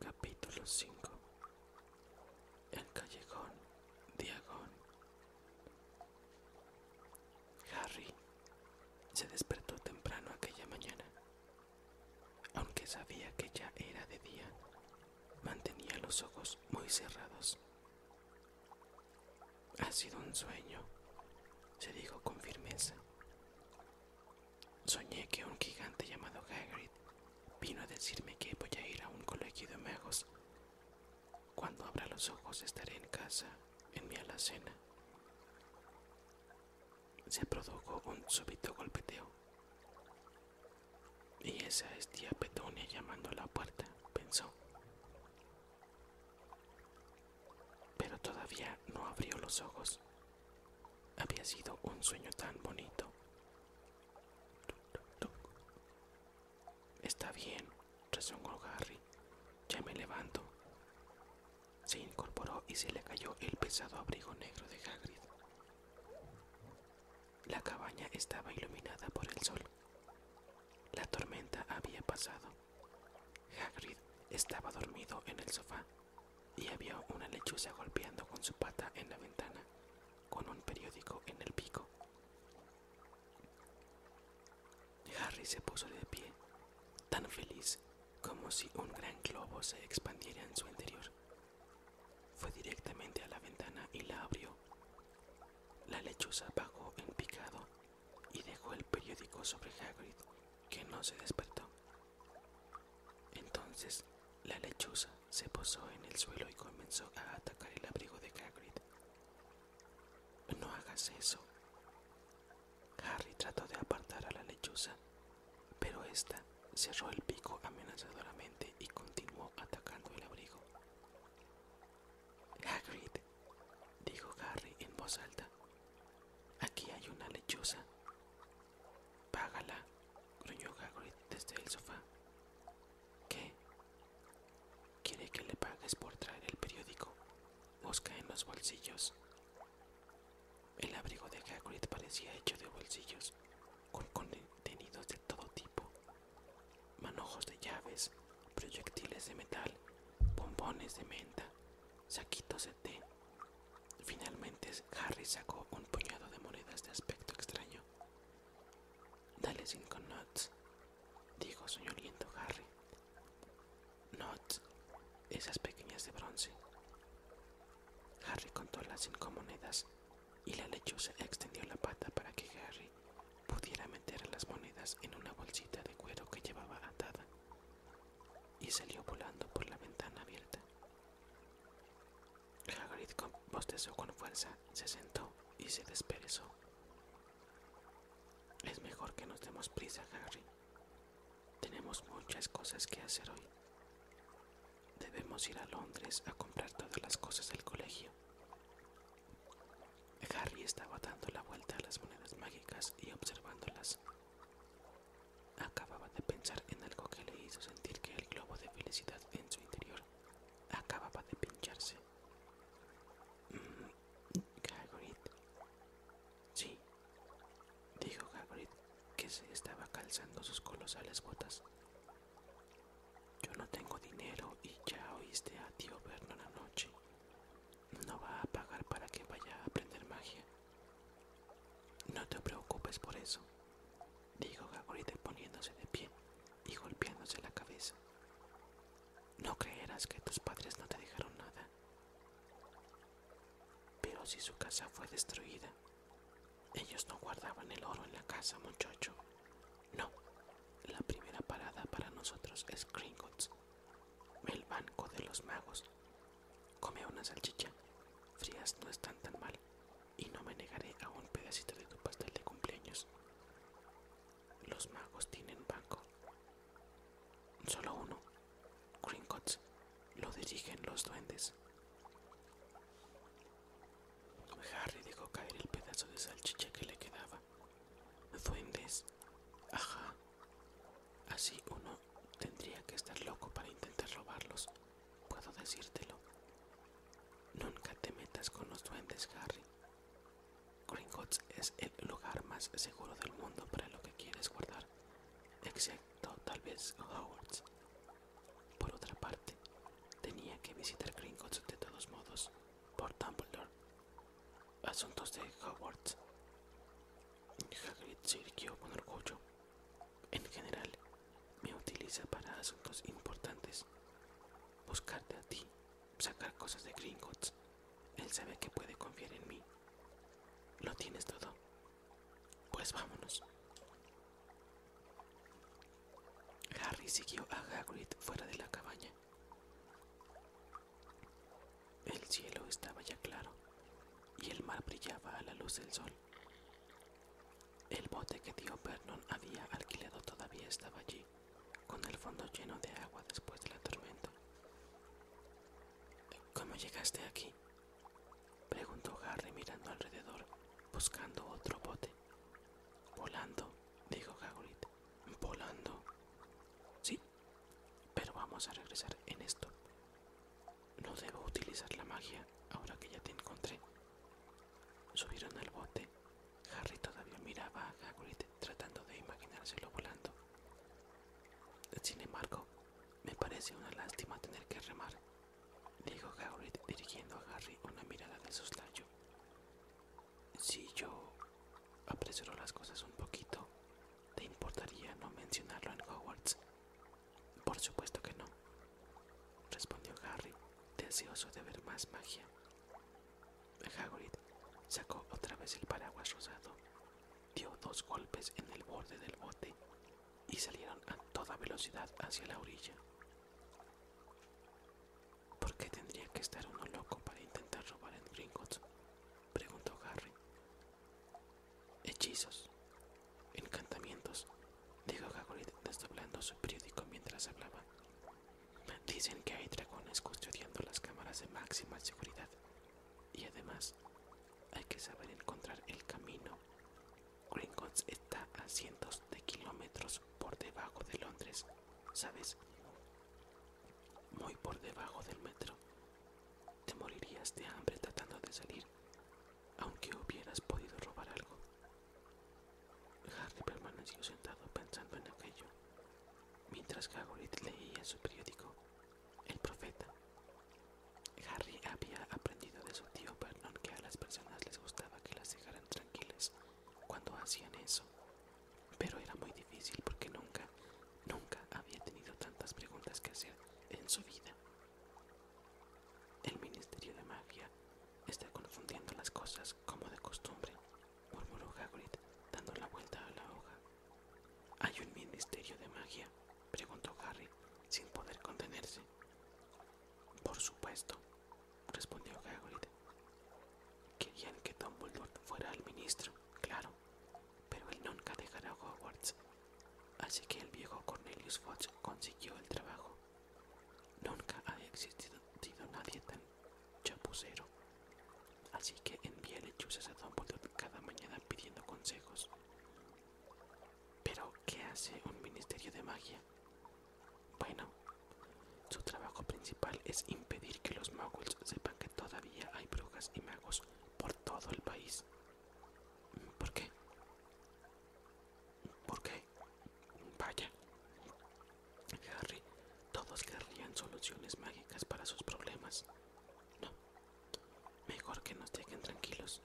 Capítulo 5 El callejón Agón Harry se despertó temprano aquella mañana. Aunque sabía que ya era de día, mantenía los ojos muy cerrados. Ha sido un sueño, se dijo con firmeza, Soñé que un gigante llamado Hagrid vino a decirme que voy a ir a un colegio de magos. Cuando abra los ojos estaré en casa, en mi alacena. Se produjo un súbito golpeteo. Y esa es tía Petonia llamando a la puerta, pensó pero todavía no abrió los ojos. Había sido un sueño tan bonito. Está bien, resonó Harry. Ya me levanto. Se incorporó y se le cayó el pesado abrigo negro de Hagrid. La cabaña estaba iluminada por el sol. La tormenta había pasado. Hagrid estaba dormido en el sofá y había una lechuza golpeando con su pata en la ventana, con un periódico en el pico. Harry se puso de pie, tan feliz como si un gran globo se expandiera en su interior. Fue directamente a la ventana y la abrió. La lechuza bajó en picado y dejó el periódico sobre Hagrid, que no se despertó. Entonces la lechuza se posó en el suelo y comenzó a atacar el abrigo de Hagrid. No hagas eso. Harry trató de apartar a la lechuza, pero ésta cerró el pico amenazadoramente y continuó atacando el abrigo. Hagrid, dijo Harry en voz alta. Aquí hay una lechuza. Págala, gruñó Hagrid desde el sofá. ¿Qué? Quiere que le pagues por traer el periódico. Busca en los bolsillos. El abrigo de Hagrid parecía hecho de bolsillos, con contenidos de todo tipo. Manojos de llaves, proyectiles de metal, bombones de menta, saquitos de Finalmente Harry sacó un puñado de monedas de aspecto extraño. Dale cinco knots, dijo soñoliento Harry. Knots, esas pequeñas de bronce. Harry contó las cinco monedas y la lechuza extendió la pata para que Harry pudiera meter las monedas en una bolsita de cuero que llevaba atada y salió volando por la ventana abierta. Hagrid bostezó con fuerza, se sentó y se desperezó. Es mejor que nos demos prisa, Harry. Tenemos muchas cosas que hacer hoy. Debemos ir a Londres a comprar todas las cosas del colegio. Harry estaba dando la vuelta a las monedas mágicas y observándolas. Acababa de pensar en algo que le hizo sentir que el globo de felicidad en su interior acababa de pincharse. Mm, sí, dijo Hagrid, que se estaba calzando sus colosales botas. Yo no tengo dinero y ya oíste a tío la noche no va a pagar para que vaya a aprender magia. No te preocupes por eso, dijo Gagorite poniéndose de pie y golpeándose la cabeza. No creerás que tus padres no te dejaron nada. Pero si su casa fue destruida, ellos no guardaban el oro en la casa, muchacho. No, la primera parada para nosotros es Gringotts, el banco de los magos Come una salchicha. Frías no están tan mal. Y no me negaré a un pedacito de tu pastel de cumpleaños. Los magos tienen banco. Solo uno. Gringotts. Lo dirigen los duendes. Harry dejó caer el pedazo de salchicha que le quedaba. Duendes. Ajá. Así uno tendría que estar loco para intentar robarlos. Puedo decírtelo. Nunca te metas con los duendes, Harry. Gringotts es el lugar más seguro del mundo para lo que quieres guardar, excepto tal vez Hogwarts. Por otra parte, tenía que visitar Gringotts de todos modos por Dumbledore asuntos de Hogwarts. Hagrid se con orgullo. En general, me utiliza para asuntos importantes. Buscarte a ti, sacar cosas de Gringotts. Él sabe que puede confiar en mí. Lo tienes todo. Pues vámonos. Harry siguió a Hagrid fuera de la cabaña. El cielo estaba ya claro y el mar brillaba a la luz del sol. El bote que tío Vernon había alquilado todavía estaba allí, con el fondo lleno de agua después de la tormenta. ¿Cómo llegaste aquí? preguntó Harry mirando alrededor, buscando otro bote. Volando, dijo Hagrid. Volando. Sí, pero vamos a regresar en esto. No debo utilizar la magia ahora que ya te encontré. Subieron al bote. Harry todavía miraba a Hagrid tratando de imaginárselo volando. Sin embargo, me parece una lástima tener que remar, dijo Hagrid dirigiendo a Harry una mirada de soslayo. Si yo apresuro las cosas un poquito, ¿Te importaría no mencionarlo en Hogwarts? Por supuesto que no, respondió Harry, deseoso de ver más magia. Hagrid sacó otra vez el paraguas rosado, dio dos golpes en el borde del bote y salieron a toda velocidad hacia la orilla. ¿Por qué tendría que estar uno loco para intentar robar en Gringotts? preguntó Harry, Hechizos, encantamientos, dijo Hagrid desdoblando su periódico mientras hablaba. Dicen que hay dragones custodiando las cámaras de máxima seguridad y además hay que saber encontrar el camino. Gringotts está a cientos de kilómetros por debajo de Londres, ¿sabes? Muy por debajo del metro te morirías de hambre tratando de salir, aunque hubieras podido robar algo. Harry permaneció sentado pensando en aquello, mientras Hagrid leía su periódico, El Profeta. Harry había aprendido de su tío Vernon que a las personas les gustaba que las dejaran tranquilas cuando hacían eso, pero era muy difícil porque nunca Nunca había tenido tantas preguntas que hacer en su vida. El Ministerio de Magia está confundiendo las cosas como de costumbre, murmuró Hagrid, dando la vuelta a la hoja. ¿Hay un Ministerio de Magia? preguntó Harry, sin poder contenerse. Por supuesto, respondió Hagrid. Querían que Dumbledore fuera el ministro, claro, pero él nunca dejará Hogwarts, así que el viejo Cornelius Fudge consiguió el trabajo. Nunca ha existido nadie tan chapucero, así que envía lechuzas a Dumbledore cada mañana pidiendo consejos. Pero, ¿qué hace un ministerio de magia? Bueno, su trabajo principal es impedir que los magos sepan que todavía hay brujas y magos por todo el país. ¿Por qué? ¿Por qué? Vaya. Harry, todos querrían soluciones mágicas para sus problemas. No. Mejor que nos dejen tranquilos.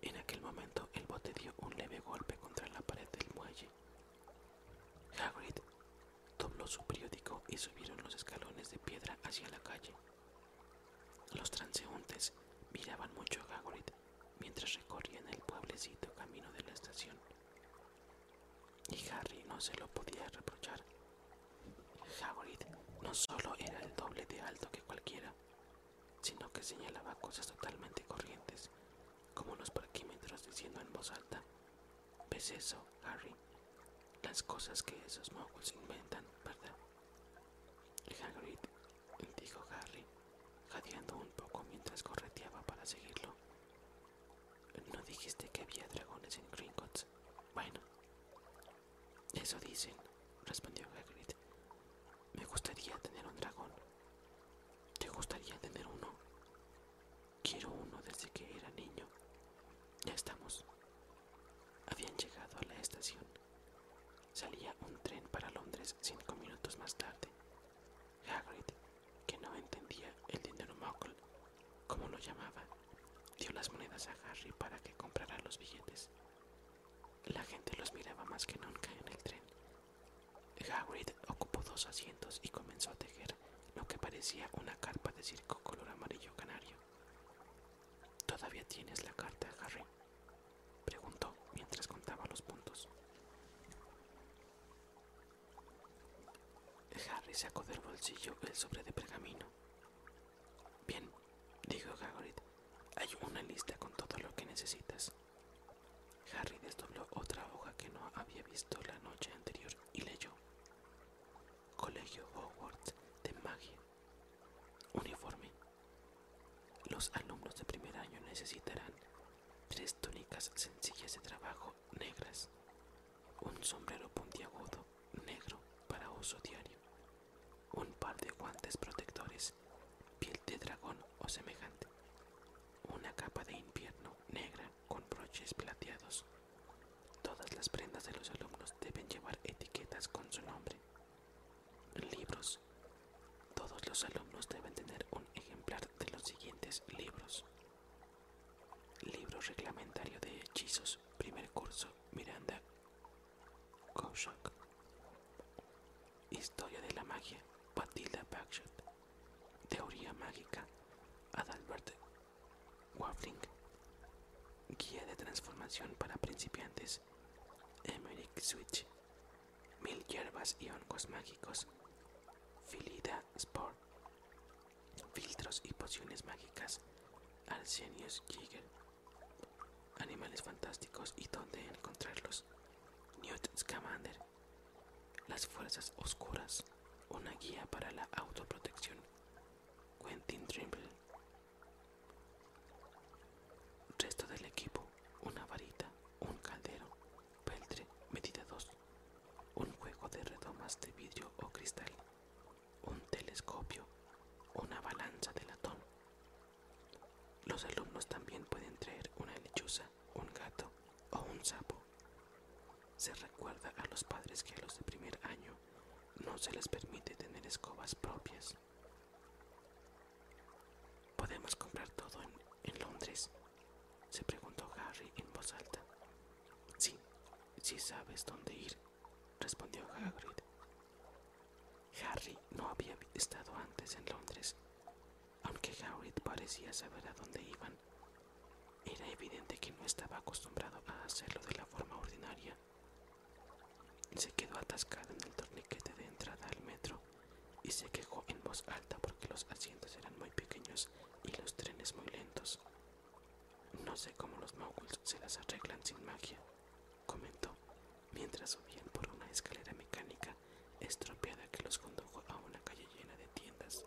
En aquel momento el bote dio un leve golpe contra la pared del muelle. Hagrid dobló su periódico y subieron los escalones de piedra hacia la calle. Los transeúntes miraban mucho a Hagrid mientras recorrían el pueblecito camino de la estación. Y Harry no se lo podía reprochar. Hagrid no solo era el doble de alto que cualquiera, sino que señalaba cosas totalmente corrientes, como unos parquímetros diciendo en voz alta ¿Ves pues eso, Harry? Las cosas que esos moguls inventan, ¿verdad? Hagrid, dijo Harry, jadeando un poco mientras correteaba para seguirlo. ¿No dijiste que había dragones en Gringotts? Bueno, eso dicen, respondió Hagrid. Me gustaría tener un dragón. ¿Te gustaría tener uno? Quiero uno desde que era niño. Ya estamos. Habían llegado a la estación. Salía un tren para Londres cinco minutos más tarde. Hagrid, que no entendía el dinero como lo llamaba, dio las monedas a Harry para que comprara los billetes. La gente los miraba más que nunca en el tren. Hagrid ocupó dos asientos y comenzó a tejer lo que parecía una carpa de circo color amarillo canario. ¿Todavía tienes la carta, Harry? Preguntó mientras contaba los puntos. Harry sacó del bolsillo el sobre de pergamino. Bien, dijo Hagrid, hay una lista con todo lo que necesitas. Harry desdobló otra hoja que no había visto la noche anterior y leyó. Colegio Hogwarts de Magia. Uniforme. Los alumnos de primer año necesitarán tres túnicas sencillas de trabajo negras, un sombrero puntiagudo negro para uso diario, un par de guantes protectores, piel de dragón o semejante, una capa de invierno negra con broches plateados Todas las prendas de los alumnos deben llevar etiquetas con su nombre. Libros. Todos los alumnos deben tener un ejemplar de los siguientes libros. Libro reglamentario de hechizos, primer curso, Miranda Koshak. Historia de la magia, Batilda Bagshot. Teoría mágica, Adalbert Waffling, Guía de Transformación para Principiantes, Emeric Switch, Mil Hierbas y Hongos Mágicos, Filida Sport, Filtros y Pociones Mágicas, Arsenius Jigger, Animales Fantásticos y dónde encontrarlos, Newt Scamander, Las Fuerzas Oscuras, una guía para la autoprotección, Quentin Trimble. Resto del equipo, una varita, un caldero, peltre, medida 2, un juego de redomas de vidrio o cristal, un telescopio, una balanza de latón. Los alumnos también pueden traer una lechuza, un gato o un sapo. Se recuerda a los padres que a los de primer año no se les permite tener escobas propias. ¿Podemos comprar todo en, Londres? se preguntó Harry en voz alta. Sí, sí sabes dónde ir, respondió Hagrid. Harry no había estado antes en Londres, aunque Hagrid parecía saber a dónde iban era evidente que no estaba acostumbrado a hacerlo de la forma ordinaria. Se quedó atascado en el torniquete de entrada al metro y se quejó en voz alta porque los asientos eran muy pequeños y los trenes muy lentos. No sé cómo los moguls se las arreglan sin magia, comentó mientras subían por una escalera mecánica estropeada que los condujo a una calle llena de tiendas.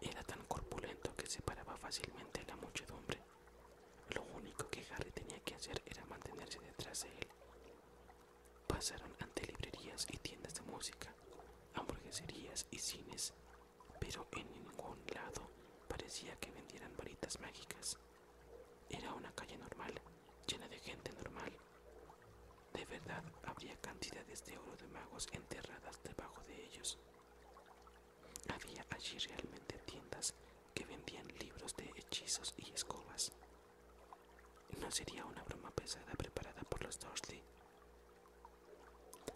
Era tan corpulento que separaba fácilmente a la muchedumbre. Lo único que Harry tenía que hacer era mantenerse detrás de él. Pasaron ante librerías y tiendas de música, hamburgueserías y cines, pero en ningún lado parecía que vendieran varitas mágicas. Era una calle normal, llena de gente normal. De verdad, habría cantidades de oro de magos enterradas debajo de ellos. Había allí realmente tiendas que vendían libros de hechizos y escobas. No sería una broma pesada preparada por los Dursley.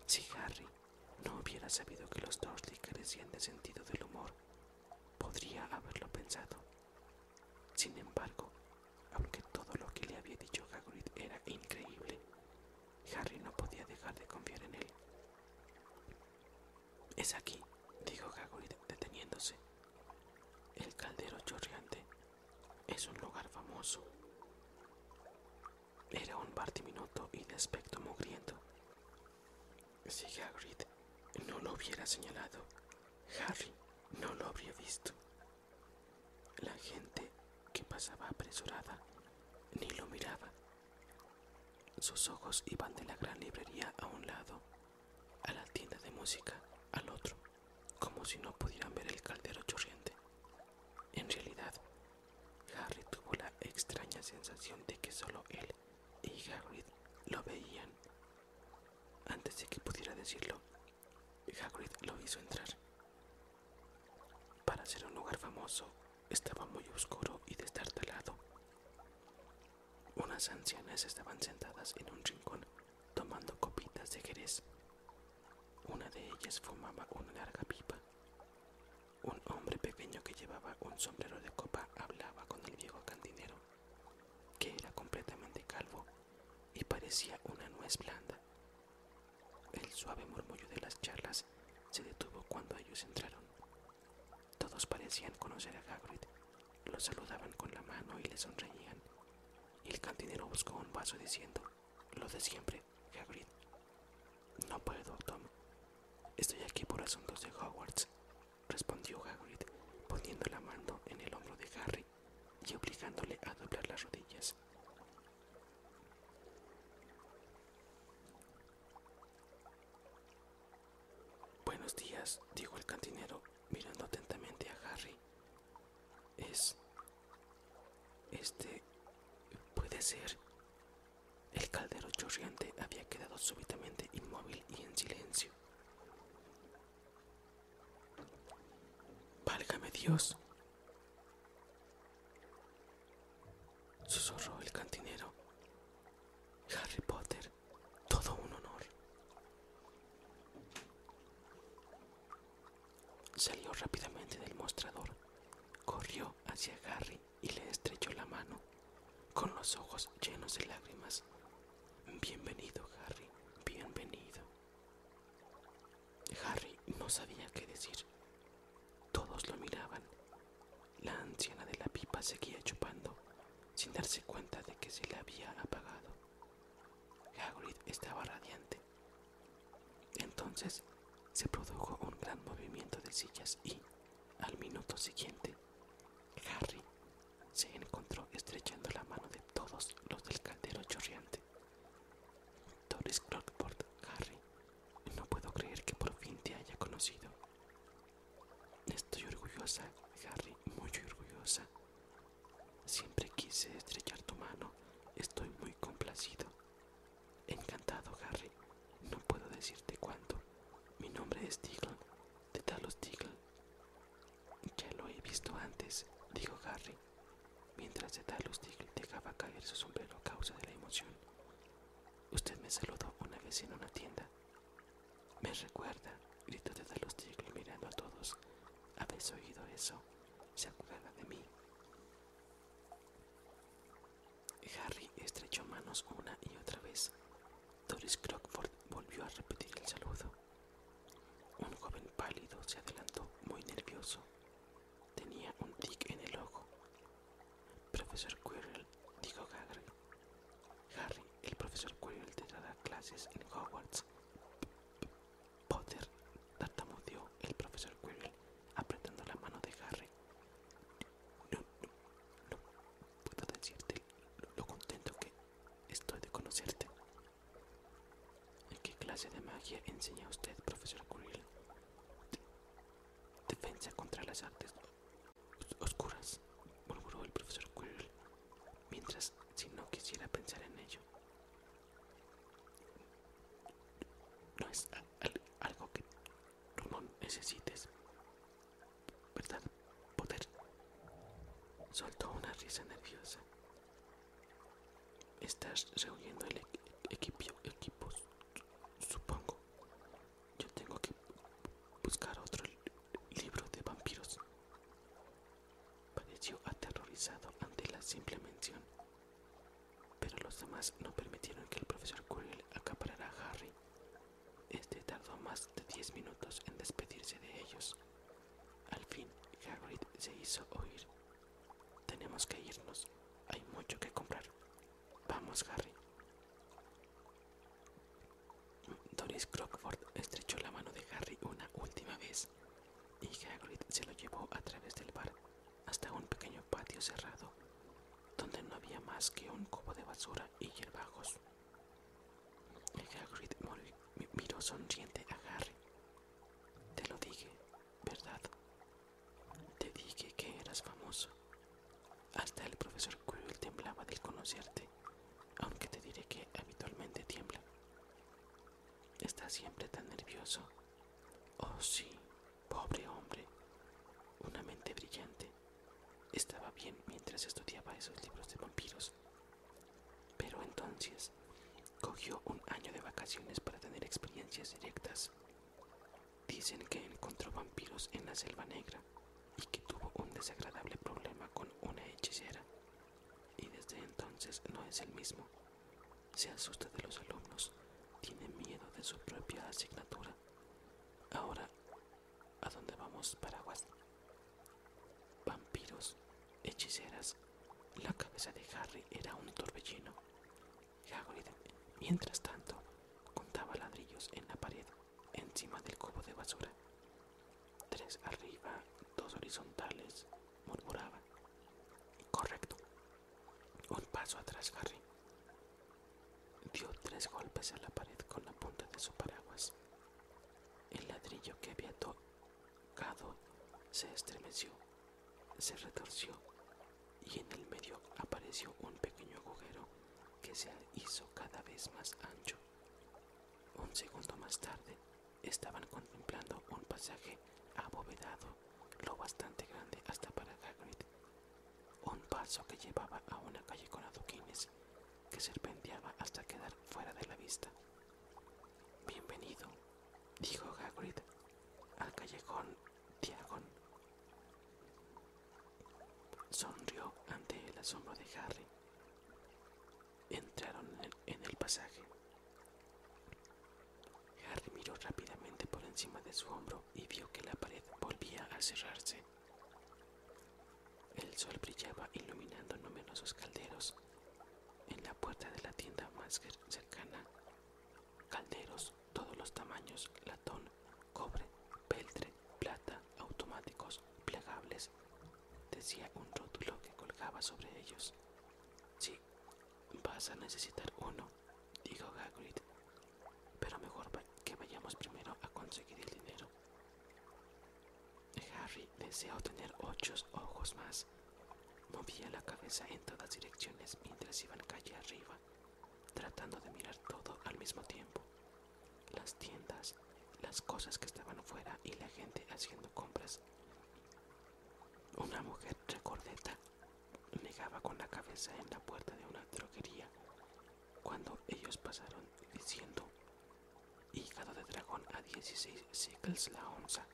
Si Harry no hubiera sabido que los Dursley carecían de sentido del humor, podría haberlo pensado. Sin embargo, aunque todo lo que le había dicho Hagrid era increíble, Harry no podía dejar de confiar en él. Es aquí, dijo Hagrid deteniéndose. El caldero Chorriante es un lugar famoso. Era un partiminuto y de aspecto mugriento. Si Hagrid no lo hubiera señalado, Harry no lo habría visto. La gente que pasaba apresurada ni lo miraba. Sus ojos iban de la gran librería a un lado, a la tienda de música al otro, como si no pudieran ver el caldero chorriente. En realidad, Harry tuvo la extraña sensación de que solo él y Hagrid lo veían. Antes de que pudiera decirlo, Hagrid lo hizo entrar. Para ser un lugar famoso, estaba muy oscuro y destartalado. Unas ancianas estaban sentadas en un rincón tomando copitas de jerez. Una de ellas fumaba una larga pipa. Un hombre pequeño que llevaba un sombrero de copa hablaba con el viejo cantinero, que era completamente calvo y parecía una nuez blanda el suave murmullo de las charlas se detuvo cuando ellos entraron. Todos parecían conocer a Hagrid. Lo saludaban con la mano y le sonreían. el cantinero buscó un vaso diciendo, lo de siempre, Hagrid. No puedo, Tom. Estoy aquí por asuntos de Hogwarts, respondió Hagrid, poniendo la mano en el hombro de Harry y obligándole a doblar las rodillas. Buenos días, dijo el cantinero, mirando atentamente a Harry. Es... Este... puede ser... El caldero chorriante había quedado súbitamente inmóvil y en silencio. Válgame Dios, Susurró el cantinero. Harry Potter, todo un honor. Salió rápidamente del mostrador, corrió hacia Harry y le estrechó la mano, con los ojos llenos de lágrimas. Bienvenido, Harry, bienvenido. Harry no sabía qué decir. Todos lo miraban. La anciana de la pipa seguía chupando, sin darse cuenta de que se le había apagado. Hagrid estaba radiante. Entonces se produjo un gran movimiento de sillas y, al minuto siguiente, Harry se encontró estrechando la mano de todos los del caldero chorriante. Doris Crockford, Harry, no puedo creer que por fin te haya conocido. Estoy orgullosa, Harry, muy orgullosa. Siempre quise estrechar tu mano. Estoy muy complacido. Encantado, Harry. No puedo decirte cuánto. Mi nombre es Diggle, de Talos Diggle. Ya lo he visto antes, dijo Harry. Mientras de Diggle dejaba caer su sombrero a causa de la emoción. Usted me saludó una vez en una tienda. Me recuerda, gritó Dallas Diggle mirando a todos. ¿Habéis oído eso? Se acuerda de mí. Harry estrechó manos una y otra vez. Doris Crockford volvió a repetir el saludo. Un joven pálido se adelantó muy nervioso. Tenía un tic en el ojo. Profesor Quirrell, dijo Harry. Harry, el profesor Quirrell te dará clases en Hogwarts. Potter, tartamudeó el profesor Quirrell, apretando la mano de Harry. no puedo decirte lo contento que estoy de conocerte. ¿Qué clase de magia enseña usted, profesor Quirrell? Defensa contra las artes oscuras, murmuró el profesor Quirrell, mientras si no quisiera pensar en ello. No es algo que no necesites, ¿verdad? Poder. Soltó una risa nerviosa Estás reuniendo el equipo, supongo. Yo tengo que buscar otro libro de vampiros. Pareció aterrorizado ante la simple mención, pero los demás no permitieron que el profesor Curiel acaparara a Harry. Este tardó más de 10 minutos en despedirse de ellos. Al fin, Harry se hizo oír. Tenemos que irnos. Hay mucho que comprar. Vamos, Harry. Doris Crockford estrechó la mano de Harry una última vez y Hagrid se lo llevó a través del bar hasta un pequeño patio cerrado donde no había más que un cubo de basura y hierbajos. Hagrid miró sonriente a Harry. Te lo dije, ¿verdad? Te dije que eras famoso. Hasta el profesor Quirrell temblaba del conocerte, aunque te diré que habitualmente tiembla. Está siempre tan nervioso. Oh sí, pobre hombre. Una mente brillante. Estaba bien mientras estudiaba esos libros de vampiros. Pero entonces Cogió un año de vacaciones para tener experiencias directas. Dicen que encontró vampiros en la selva negra y que tuvo un desagradable problema con una hechicera. Y desde entonces no es el mismo. Se asusta de los alumnos, tiene miedo de su propia asignatura. Ahora, ¿a dónde vamos, Paraguas? Vampiros, hechiceras. La cabeza de Harry era un torbellino mientras tanto, contaba ladrillos en la pared encima del cubo de basura. Tres arriba, dos horizontales, murmuraba. Correcto. Un paso atrás, Harry. Dio tres golpes a la pared con la punta de su paraguas. El ladrillo que había tocado se estremeció se retorció y en el medio apareció un pequeño agujero que se hizo cada vez más ancho. Un segundo más tarde estaban contemplando un pasaje abovedado lo bastante grande hasta para Gagrid. un paso que llevaba a una calle con adoquines que serpenteaba hasta quedar fuera de la vista. Bienvenido, dijo Gagrid al callejón Diagon. Sonrió ante el asombro de Harry. Entraron en el pasaje. Harry miró rápidamente por encima de su hombro y vio que la pared volvía a cerrarse. El sol brillaba iluminando numerosos calderos en la puerta de la tienda más cercana Calderos, todos los tamaños, latón, cobre, peltre, plata, automáticos, plegables, decía un rótulo que colgaba sobre ellos. Sí, vas a necesitar uno, dijo Hagrid, pero mejor que vayamos primero a conseguir el dinero. Harry desea tener ocho ojos más Movía la cabeza en todas direcciones mientras iban calle arriba, tratando de mirar todo al mismo tiempo. Las tiendas, las cosas que estaban fuera y la gente haciendo compras. Una mujer recordeta negaba con la cabeza en la puerta de una droguería cuando ellos pasaron diciendo hígado de dragón a 16 sicles la onza.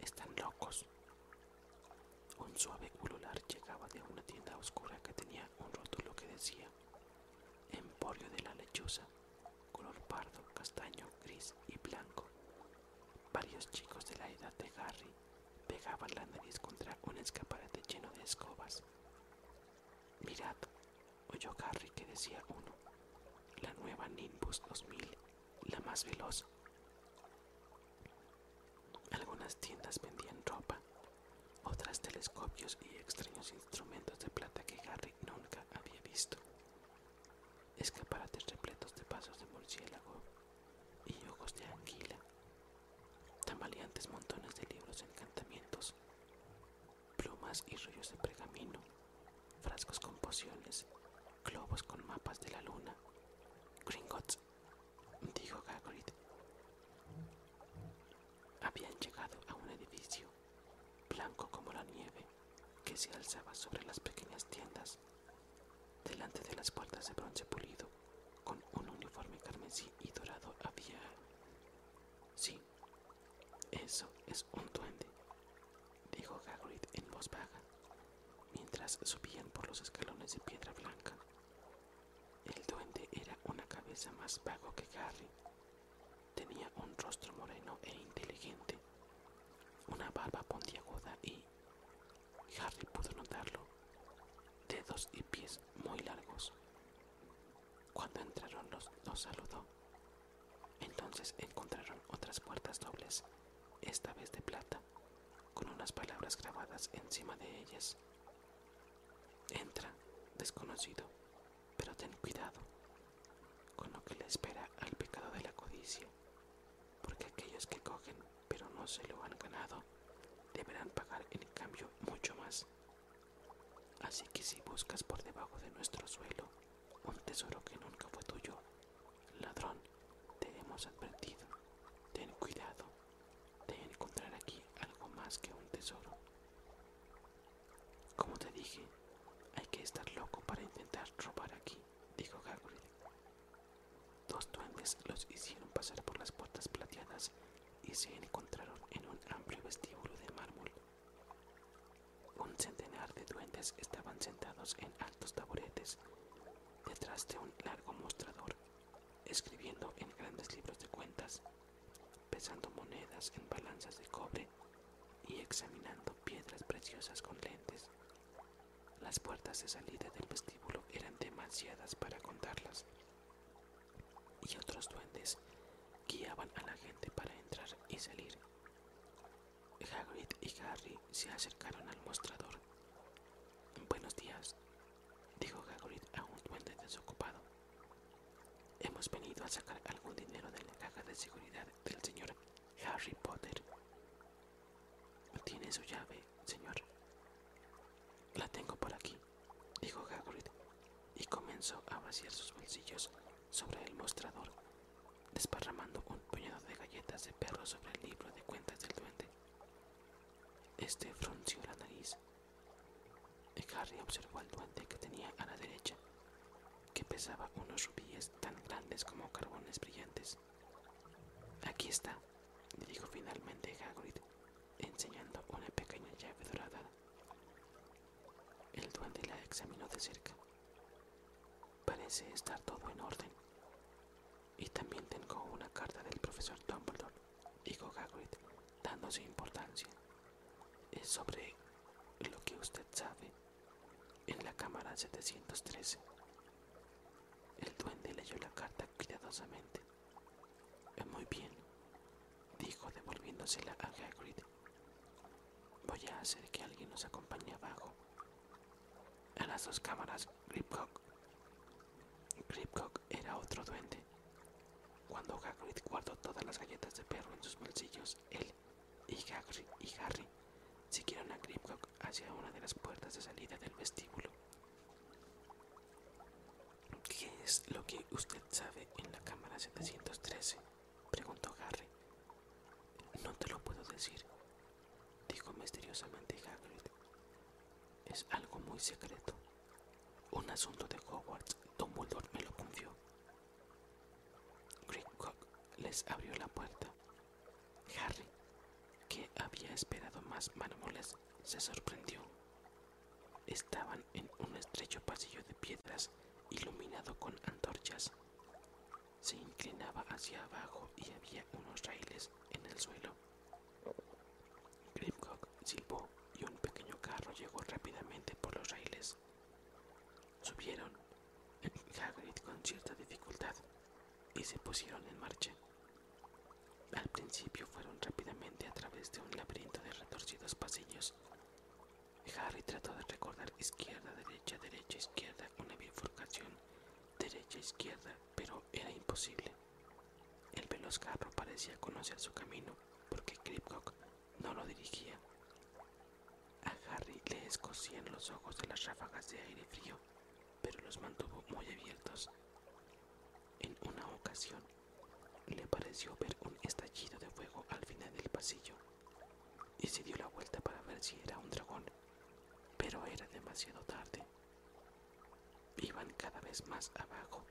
Están locos. Un suave culular llegaba de una tienda oscura que tenía un rótulo que decía Emporio de la lechuza, color pardo, castaño, gris y blanco. Varios chicos de la edad de Harry pegaban la nariz contra un escaparate lleno de escobas. Mirad, oyó Harry que decía uno, la nueva Nimbus 2000, la más veloz. Algunas tiendas vendían ropa, otras telescopios y extraños instrumentos de plata que Harry nunca había visto. Escaparates repletos de pasos de murciélago y ojos de anguila. Tambaleantes montones de libros de encantamientos, plumas y rollos de pergamino, frascos con pociones, globos con mapas de la luna, Gringotts, dijo Hagrid. Habían llegado a un edificio, blanco como la nieve, que se alzaba sobre las pequeñas tiendas, delante de las puertas de bronce pulido, con un uniforme carmesí y dorado había... Sí, eso es un duende, dijo Hagrid en voz baja mientras subían por los escalones de piedra blanca. El duende era una cabeza más vago que Harry. Tenía un rostro moreno e inteligente, una barba puntiaguda y, Harry pudo notarlo, dedos y pies muy largos. Cuando entraron los, los saludó. Entonces encontraron otras puertas dobles, esta vez de plata, con unas palabras grabadas encima de ellas. Entra, desconocido, pero ten cuidado con lo que le espera al pecado de la codicia, porque aquellos que cogen pero no se lo han ganado deberán pagar en cambio mucho más. Así que si buscas por debajo de nuestro suelo un tesoro que nunca fue tuyo, ladrón, te hemos advertido. Ten cuidado de encontrar aquí algo más que un tesoro. Como te dije, hay que estar loco para intentar robar aquí, dijo Hagrid. Dos duendes los hicieron pasar por las puertas plateadas y se encontraron en un amplio vestíbulo de mármol. Un centenar de duendes estaban sentados en altos taburetes detrás de un largo mostrador, escribiendo en grandes libros de cuentas, pesando monedas en balanzas de cobre y examinando piedras preciosas con lentes. Las puertas de salida del vestíbulo eran demasiadas para contarlas, y otros duendes guiaban a la gente para entrar y salir. Hagrid y Harry se acercaron al mostrador. Buenos días, dijo Hagrid a un duende desocupado. Hemos venido a sacar algún dinero de la caja de seguridad del señor Harry Potter. ¿Tiene su llave, señor? La tengo por aquí, dijo Hagrid, y comenzó a vaciar sus bolsillos sobre el mostrador, desparramando un puñado de galletas de perro sobre el libro de cuentas del duende. Este, este frunció la nariz. Harry observó al duende que tenía a la derecha, que pesaba unos rubíes tan grandes como carbones brillantes. Aquí está, dijo finalmente Hagrid, enseñando una pequeña llave dorada. El duende la examinó de cerca. Parece estar todo en orden. Y también tengo una carta del profesor Dumbledore, dijo Gagrid, dándose importancia. Es sobre lo que usted sabe. En la cámara 713. El duende leyó la carta cuidadosamente. Muy bien, dijo devolviéndosela a Gagrid. Voy a hacer que alguien nos acompañe abajo a las dos cámaras, Gripcock. Gripcock era otro duende. Cuando Hagrid guardó todas las galletas de perro en sus bolsillos, él y, y Harry siguieron a Gripcock hacia una de las puertas de salida del vestíbulo. ¿Qué es lo que usted sabe en la cámara 713? preguntó Harry. No te lo puedo decir, dijo misteriosamente Hagrid. Es algo muy secreto. Un asunto de Hogwarts, Dumbledore me lo confió. Greencock les abrió la puerta. Harry, que había esperado más mármoles, se sorprendió. Estaban en un estrecho pasillo de piedras iluminado con antorchas se inclinaba hacia abajo y había unos raíles en el suelo. Grimcock silbó y un pequeño carro llegó rápidamente por los raíles. Subieron Hagrid con cierta dificultad y se pusieron en marcha. Al principio fueron rápidamente a través de un laberinto de retorcidos pasillos. Harry trató de recordar izquierda, derecha, derecha, izquierda, una bifurcación, derecha, izquierda, pero era imposible. El veloz carro parecía conocer su camino porque Kripcock no lo dirigía. A Harry le escocían los ojos de las ráfagas de aire frío, pero los mantuvo muy abiertos. En una ocasión, le pareció ver un estallido de fuego al final del pasillo y se dio la vuelta para ver si era un dragón pero era demasiado tarde. Iban cada vez más abajo,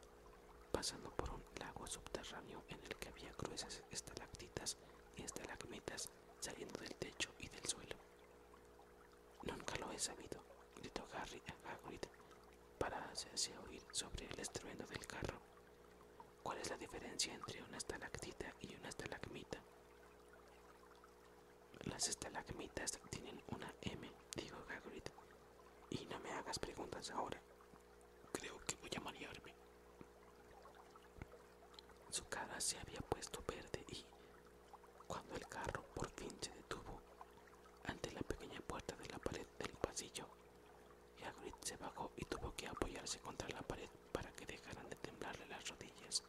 pasando por un lago subterráneo en el que había cruces estalactitas y estalagmitas saliendo del techo y del suelo. Nunca lo he sabido, gritó Harry a Hagrid para hacerse oír sobre el estruendo del carro. ¿Cuál es la diferencia entre una estalactita y una estalagmita? Las estalagmitas tienen una M, dijo Hagrid. Y no me hagas preguntas ahora. Creo que voy a marearme. Su cara se había puesto verde y, cuando el carro por fin se detuvo ante la pequeña puerta de la pared del pasillo, Hagrid se bajó y tuvo que apoyarse contra la pared para que dejaran de temblarle las rodillas.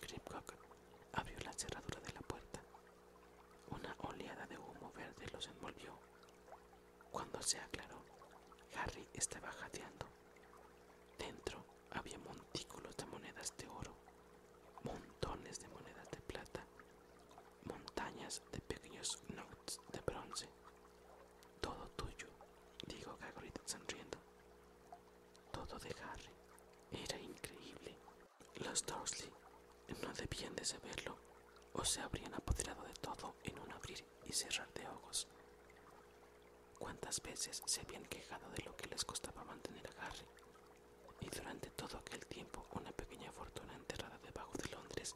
Gripcock abrió la cerradura de la puerta. Una oleada de humo verde los envolvió. Cuando se aclaró, Harry estaba jadeando. Dentro había montículos de monedas de oro, montones de monedas de plata, montañas de pequeños notes de bronce. Todo tuyo, dijo Gagrid sonriendo. Todo de Harry era increíble. Los Dursley no debían de saberlo o se habrían apoderado de todo en un abrir y cerrar de ojos. Cuántas veces se habían quejado de lo que les costaba mantener a Harry, y durante todo aquel tiempo una pequeña fortuna enterrada debajo de Londres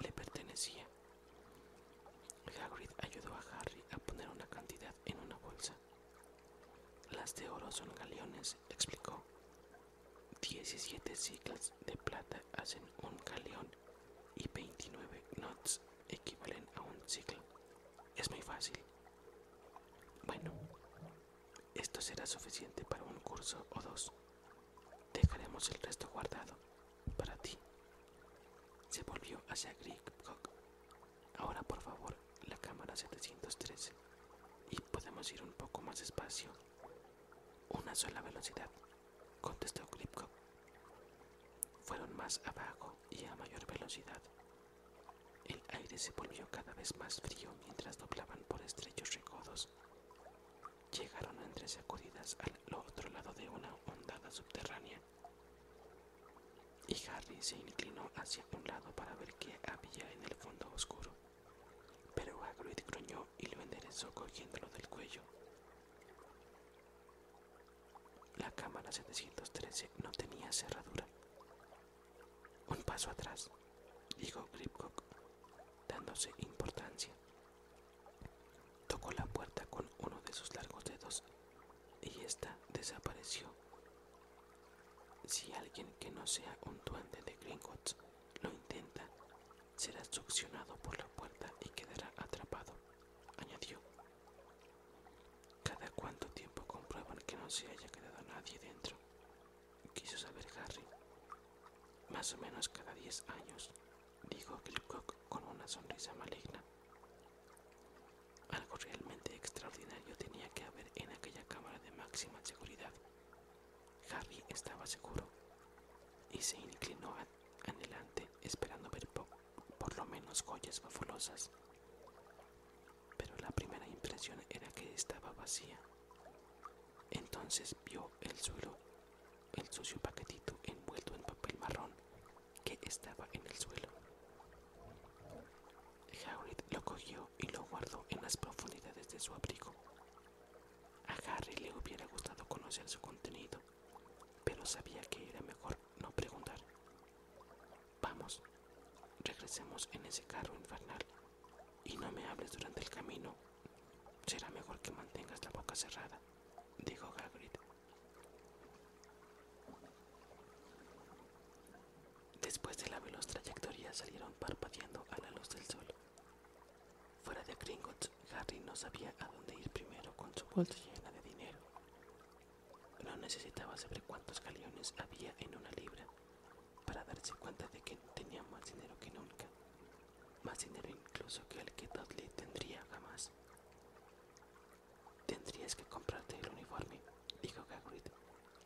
le pertenecía. Hagrid ayudó a Harry a poner una cantidad en una bolsa las de oro son galeones, explicó. 17 siglas de plata hacen un galeón y 29 knots equivalen a un siglo. Es muy fácil. Bueno, esto será suficiente para un curso o dos. Dejaremos el resto guardado para ti. Se volvió hacia Grigcock Ahora por favor la cámara 713 y podemos ir un poco más despacio. Una sola velocidad, contestó Kripko. Fueron más abajo y a mayor velocidad. El aire se volvió cada vez más frío mientras doblaban por estrechos recodos. Llegaron entre sacudidas al otro lado de una ondada subterránea. Y Harry se inclinó hacia un lado para ver qué había en el fondo oscuro. Pero Hagrid gruñó y lo enderezó cogiéndolo del cuello. La cámara 713 no tenía cerradura. Un paso atrás, dijo Gripcock, dándose importancia. Tocó la puerta con uno de sus largos dedos y ésta desapareció si alguien que no sea un duende de Gringotts lo intenta, será succionado por la puerta y quedará atrapado, añadió. ¿Cada cuánto tiempo comprueban que no se haya quedado nadie dentro? Quiso saber Harry. Más o menos cada diez años, dijo Kilcock con una sonrisa maligna. Algo realmente extraordinario tenía que haber en aquella cámara de máxima seguridad. Harry estaba seguro y se inclinó adelante esperando ver por lo menos joyas bafolosas. Pero la primera impresión era que estaba vacía. Entonces vio el suelo, el sucio paquetito envuelto en papel marrón que estaba en el suelo. Hagrid lo cogió y lo guardó en las profundidades de su abrigo. A Harry le hubiera gustado conocer su contenido, pero sabía que era mejor no preguntar. Vamos, regresemos en ese carro infernal y no me hables durante el camino. Será mejor que mantengas la boca cerrada, dijo Hagrid Después de la veloz trayectoria salieron parpadeando a la luz del sol. Fuera de Gringotts, Harry no sabía a dónde ir primero con su bolsa llena de dinero. No necesitaba saber cuántos galeones había en una libra para darse cuenta de que tenía más dinero que nunca, más dinero incluso que el que Dudley tendría jamás. Tendrías que comprarte el uniforme, dijo Gagrid,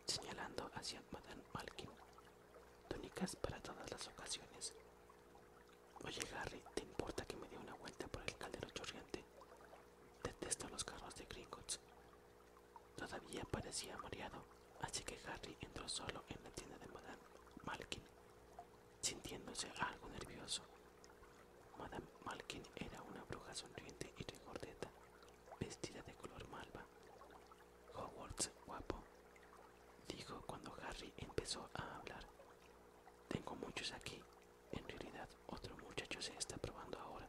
señalando hacia Madame Malkin. Túnicas para todas las ocasiones. Oye, Harry, ¿te importa que me dé una vuelta por el caldero chorreante? Detesto los carros de Gringotts. Todavía parecía mareado, así que Harry entró solo en la tienda de Madame Malkin, sintiéndose algo nervioso. Madame Malkin era una bruja sonriente y regordeta, vestida de color malva. Hogwarts, guapo, dijo cuando Harry empezó a hablar. Tengo muchos aquí. En realidad, otro muchacho se está probando ahora.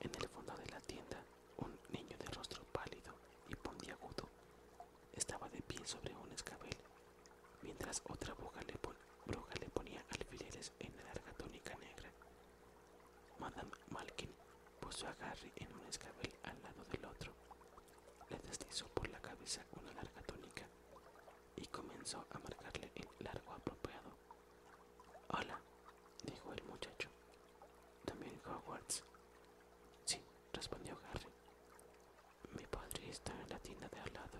En el fondo de la tienda, un niño de rostro pálido y puntiagudo estaba de pie sobre un escabel, mientras otra bruja le ponía alfileres en la larga túnica negra. Madame Malkin puso a Harry en un escabel al lado del otro, le deslizó por la cabeza una larga túnica y comenzó a marcarle el largo apropiado. Hola, dijo el muchacho. ¿También Hogwarts? Sí, respondió Harry. Mi padre está en la tienda de al lado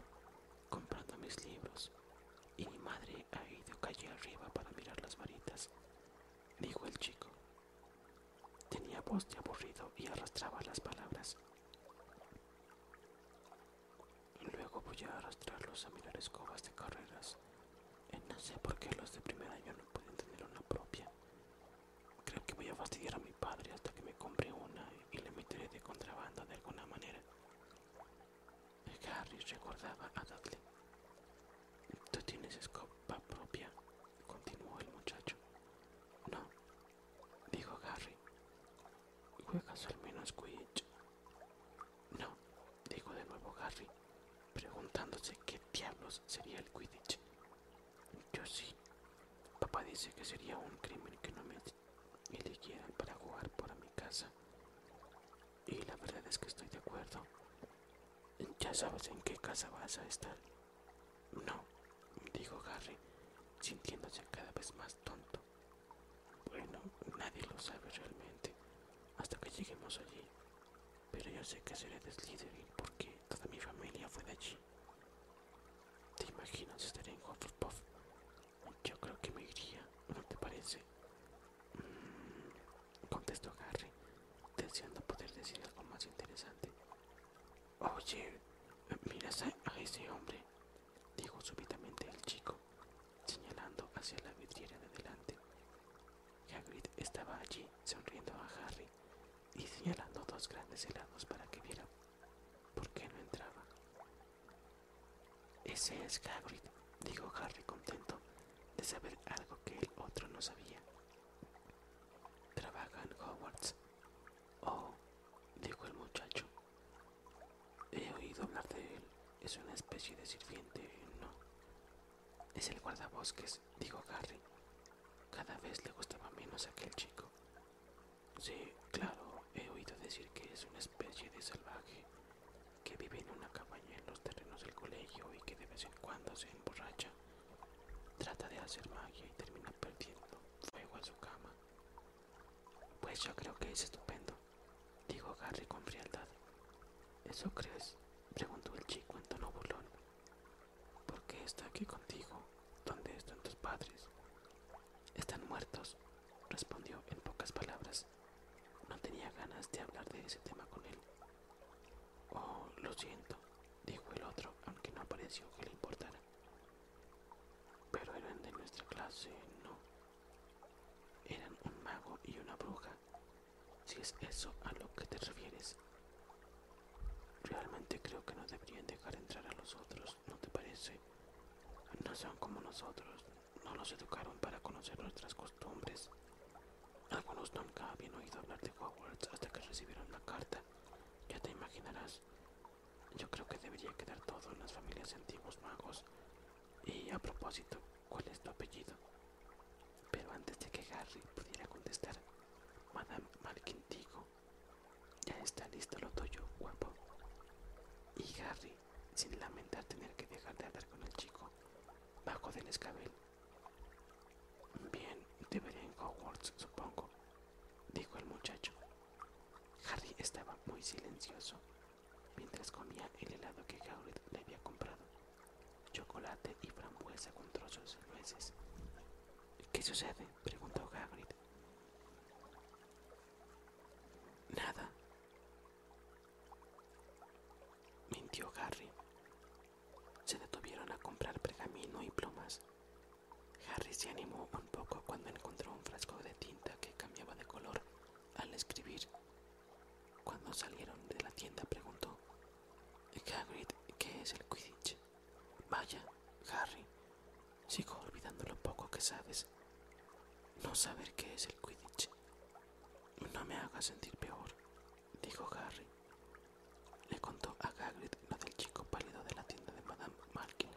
comprando mis libros, y mi madre ha ido calle arriba para mirar las varitas, dijo el chico. Tenía voz de aburrido y arrastraba las palabras. Luego voy a arrastrarlos a mirar escobas de carreras. Eh, no sé por qué los de primer año no pueden tener una propia. Creo que voy a fastidiar a mi padre hasta que me compre una y le meteré de contrabando de alguna manera. Gary recordaba a Dudley. ¿Tú tienes escopa propia? continuó el muchacho. No, dijo ¿Qué ¿Juegas al menos Quidditch? No, dijo de nuevo Gary, preguntándose qué diablos sería el Quidditch. Yo sí. Papá dice que sería un crimen que no me y le quieran para jugar por mi casa. Y la verdad es que estoy de acuerdo. Ya sabes en qué casa vas a estar. No, dijo Harry, sintiéndose cada vez más tonto. Bueno, nadie lo sabe realmente hasta que lleguemos allí. Pero yo sé que seré de Slytherin porque toda mi familia fue de allí. ¿Te imaginas estar en Hufflepuff yo creo que me iría, ¿no te parece? Mm, contestó Harry, deseando poder decir algo más interesante. Oye, ¿miras a, ese hombre? Dijo súbitamente el chico, señalando hacia la vidriera de delante. Hagrid estaba allí, sonriendo a Harry y señalando dos grandes helados para que viera por qué no entraba. Ese es Hagrid, dijo Harry contento de saber algo que el otro no sabía. Trabaja en Hogwarts. Oh, dijo el muchacho. He oído hablar de él. Es una especie de sirviente, ¿no? Es el guardabosques, dijo Harry. Cada vez le gustaba menos aquel chico. Sí, claro, he oído decir que es una especie de salvaje que vive en una cabaña en los terrenos del colegio y que de vez en cuando se emborracha, trata de hacer magia y termina perdiendo fuego a su cama. Pues yo creo que es estupendo, dijo Harry con frialdad. ¿Eso crees? preguntó el chico en tono burlón. ¿Por qué está aquí contigo? ¿Dónde están tus padres? Están muertos, respondió en pocas palabras. No tenía ganas de hablar de ese tema con él. Oh, lo siento, dijo el otro, aunque no pareció que le importara. Pero eran de nuestra clase, ¿no? Eran un mago y una bruja, si es eso a lo que te refieres. Realmente creo que no deberían dejar entrar a los otros, ¿no te parece? No son como nosotros, no nos educaron para conocer nuestras costumbres. Algunos nunca habían oído hablar de Hogwarts hasta que recibieron la carta. Ya te imaginarás. Yo creo que debería quedar todo en las familias antiguos magos. Y a propósito, ¿cuál es tu apellido? Pero antes de que Harry pudiera contestar, Madame Malkin dijo, ya está listo lo tuyo, guapo. Y Harry sin lamentar tener que dejar de hablar con el chico, bajo del escabel. Bien, debería veré en Hogwarts, supongo, dijo el muchacho. Harry estaba muy silencioso mientras comía el helado que Hagrid le había comprado, chocolate y frambuesa con trozos de nueces. ¿Qué sucede? preguntó Hagrid. Nada. Mintió Harry. Se detuvieron a comprar pergamino y plumas. Harry se animó un poco cuando encontró un frasco de tinta que cambiaba de color al escribir. Cuando salieron de la tienda preguntó, Hagrid, ¿qué es el Quidditch? Vaya, Harry, Sigo olvidando lo poco que sabes. No saber qué es el Quidditch. No me haga sentir peor, dijo Harry. Le contó a Hagrid lo del chico pálido de la tienda de Madame Malkin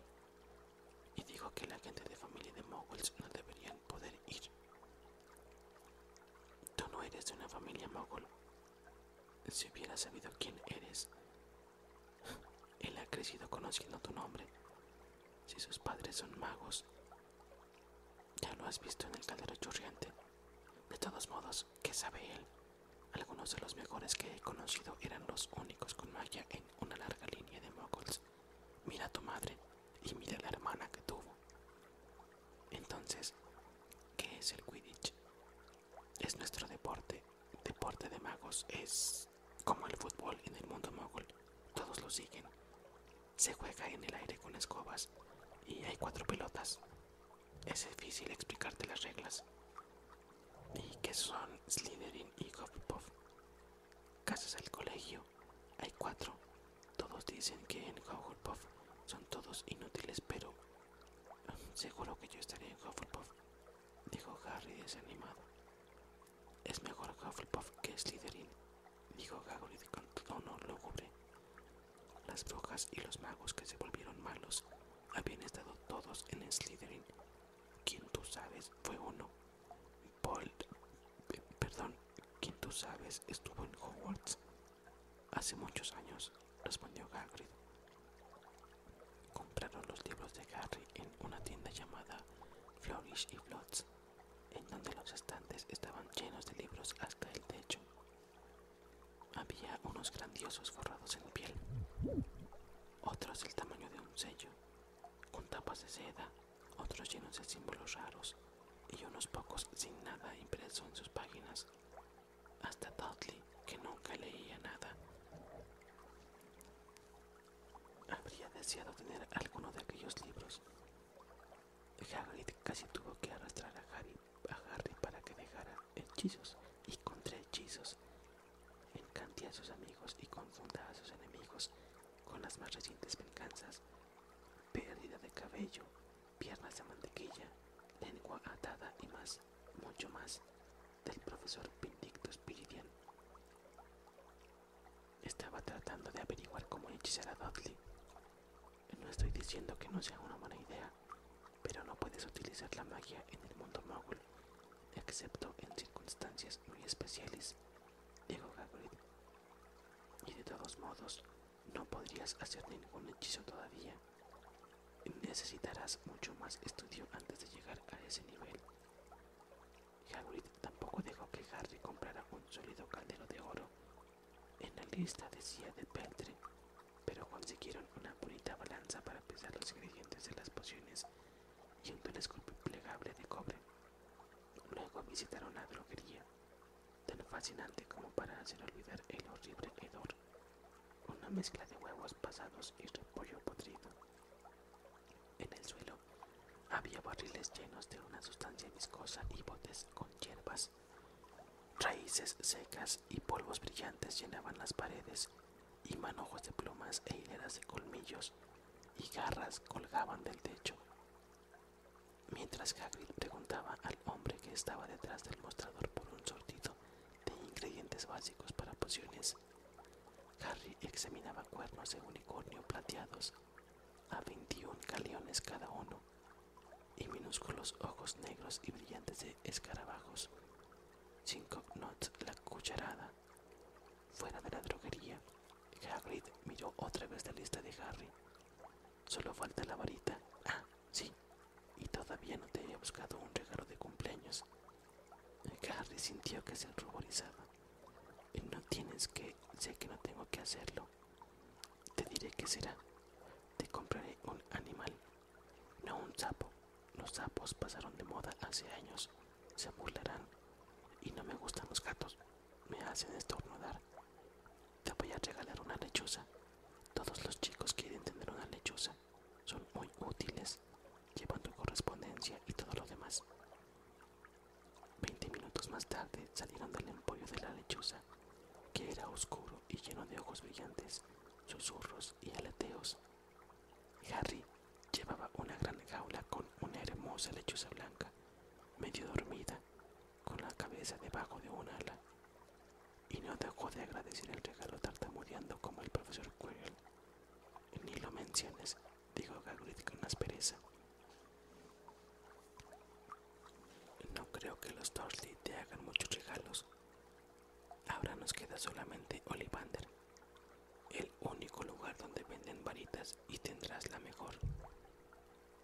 y dijo que la gente de familia de moguls no deberían poder ir. Tú no eres de una familia mogul. Si hubiera sabido quién eres, él ha crecido conociendo tu nombre. Si sus padres son magos, ya lo has visto en el caldero churriante? De todos modos, ¿qué sabe él? Algunos de los mejores que he conocido eran los únicos con magia en una larga línea de moguls. Mira a tu madre y mira a la hermana que tuvo. Entonces, ¿qué es el Quidditch? Es nuestro deporte. Deporte de magos. Es como el fútbol en el mundo mogul, todos lo siguen. Se juega en el aire con escobas y hay cuatro pelotas. Es difícil explicarte las reglas. ¿Y qué son Slytherin y puff Casas al colegio. Hay cuatro. Todos dicen que en puff son todos inútiles, pero seguro que yo estaría en puff dijo Harry desanimado. Es mejor Hufflepuff que Slytherin, dijo Gagrid con tono lúgubre. Las brujas y los magos que se volvieron malos habían estado todos en Slytherin. Quien tú sabes fue uno. Paul perdón, quien tú sabes estuvo en Hogwarts. Hace muchos años, respondió Gagrid. Compraron los libros de Harry en una tienda llamada Florish Flourish y Flots, en donde los estantes estaban llenos de libros hasta el techo. Había unos grandiosos forrados en piel, otros del tamaño de un sello, con tapas de seda, otros llenos de símbolos raros y unos pocos sin nada impreso en sus páginas, hasta Dudley, que nunca leía nada. Habría deseado tener alguno de aquellos libros. Hagrid casi tuvo que arrastrar a Harry, a para que dejara hechizos y hechizos Encanté a sus amigos y confunda a sus enemigos con las más recientes venganzas. Pérdida de cabello, piernas de mantequilla, lengua atada y más, mucho más, del profesor vindicto Piridian. Estaba tratando de averiguar cómo hechizar a Dudley. No estoy diciendo que no sea una buena idea, pero no puedes utilizar la magia en el mundo mogul, excepto en circunstancias muy especiales, dijo Hagrid. Y de todos modos, no podrías hacer ningún hechizo todavía. Necesitarás mucho más estudio antes de llegar a ese nivel. Hagrid tampoco dejó que Harry comprara un sólido caldero de oro. En la lista decía de peltre, pero consiguieron una bonita balanza para pesar los ingredientes de las pociones y un telescopio plegable de cobre. Luego visitaron la droguería, tan fascinante como para hacer olvidar el horrible hedor, una mezcla de huevos pasados y repollo podrido. En el suelo había barriles llenos de una sustancia viscosa y botes con hierbas. Raíces secas y polvos brillantes llenaban las paredes, y manojos de plumas e hileras de colmillos y garras colgaban del techo. Mientras Hagrid preguntaba al hombre que estaba detrás del mostrador por un sortido de ingredientes básicos para pociones Harry examinaba cuernos de unicornio plateados a 21 galeones cada uno y minúsculos ojos negros y brillantes de escarabajos. Cinco knots la cucharada. Fuera de la droguería, Harry miró otra vez la lista de Harry. Solo falta la varita. Ah, sí. Y todavía no te había buscado un regalo de cumpleaños. Harry sintió que se ruborizaba. No tienes que, sé que no tengo que hacerlo. Te diré qué será. Te compraré un animal, no un sapo. Los sapos pasaron de moda hace años. Se burlarán. Y no me gustan los gatos. Me hacen estornudar. Te voy a regalar una lechuza. Todos los chicos quieren tener una lechuza. Son muy útiles. Llevan tu correspondencia y todo lo demás. Veinte minutos más tarde salieron del empollo de la lechuza, que era oscuro y lleno de ojos brillantes, susurros y aleteos. Harry llevaba una gran jaula con una hermosa lechuza blanca, medio dormida, con la cabeza debajo de un ala, y no dejó de agradecer el regalo tartamudeando como el profesor Quirrell. Ni lo menciones, dijo Gagrid con aspereza. No creo que los Dursley te hagan muchos regalos. Ahora nos queda solamente Olivander, el único lugar donde venden varitas y tendrás la mejor.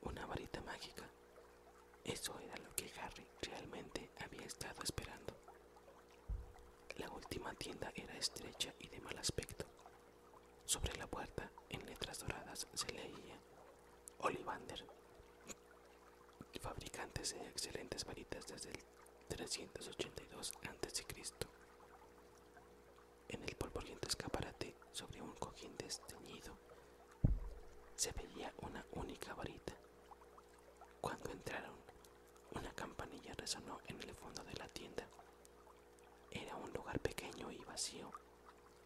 Una varita mágica. Eso era lo que Harry realmente había estado esperando. La última tienda era estrecha y de mal aspecto, sobre la puerta, en letras doradas, se leía Olivander, fabricantes de excelentes varitas desde el 382 a.C. En el polvoriento escaparate, sobre un cojín desteñido, se veía una única varita. Cuando entraron, una campanilla resonó en el fondo de la tienda. Era un lugar pequeño y vacío,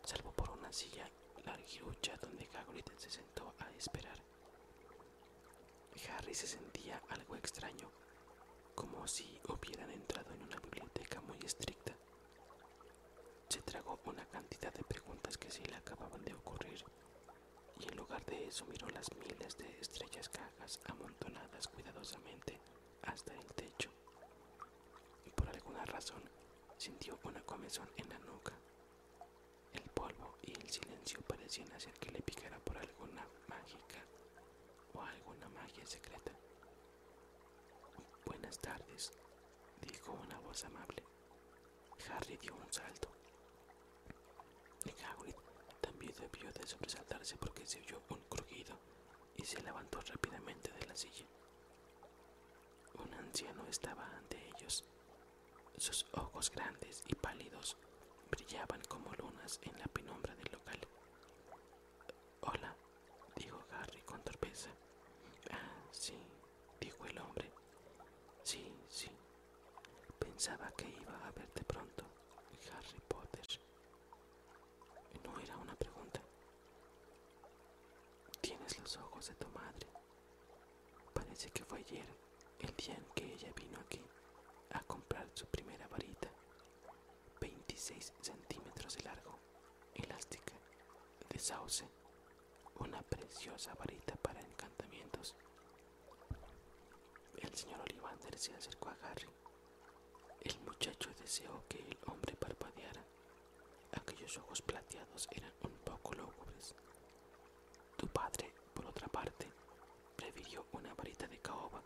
salvo por una silla larguilla donde Hagrid se sentó a esperar. Harry se sentía algo extraño, como si hubieran entrado en una biblioteca muy estricta. Se tragó una cantidad de preguntas que se le acababan de ocurrir, y en lugar de eso miró las miles de estrellas cajas amontonadas cuidadosamente hasta el techo y por alguna razón sintió una comezón en la nuca. El polvo y el silencio parecían hacer que le picara por alguna mágica o alguna magia secreta. Buenas tardes, dijo una voz amable. Harry dio un salto. Hagrid también debió de sobresaltarse porque se oyó un crujido y se levantó rápidamente de la silla. Un anciano estaba ante ellos. Sus ojos grandes y pálidos brillaban como lunas en la penumbra del local. Hola, dijo Harry con torpeza. Ah, sí, dijo el hombre. Sí, sí. Pensaba que iba a verte pronto, Harry Potter. No era una pregunta. Tienes los ojos de tu madre. Parece que fue ayer, el día en que ella vino aquí a comprar su primera varita, 26 centímetros de largo, elástica, de sauce, una preciosa varita para encantamientos. El señor Olivander se acercó a Harry el muchacho deseó que el hombre parpadeara. Aquellos ojos plateados eran un poco lúgubres. Tu padre, por otra parte, prefirió una varita de caoba,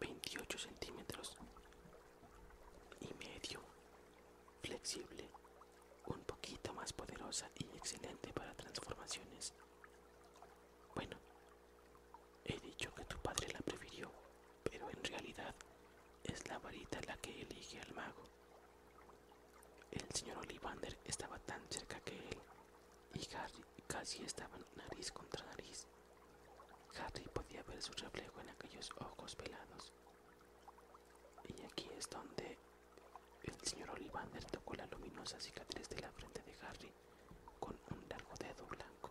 28 centímetros y medio, flexible, un poquito más poderosa y excelente para transformaciones. Bueno, he dicho que tu padre la prefirió, pero en realidad es la varita la que elige al mago. El señor Olivander estaba tan cerca que él y Harry casi estaban nariz contra nariz. Harry podía ver su reflejo en aquellos ojos pelados. Y aquí es donde el señor Olivander tocó la luminosa cicatriz de la frente de Harry con un largo dedo blanco.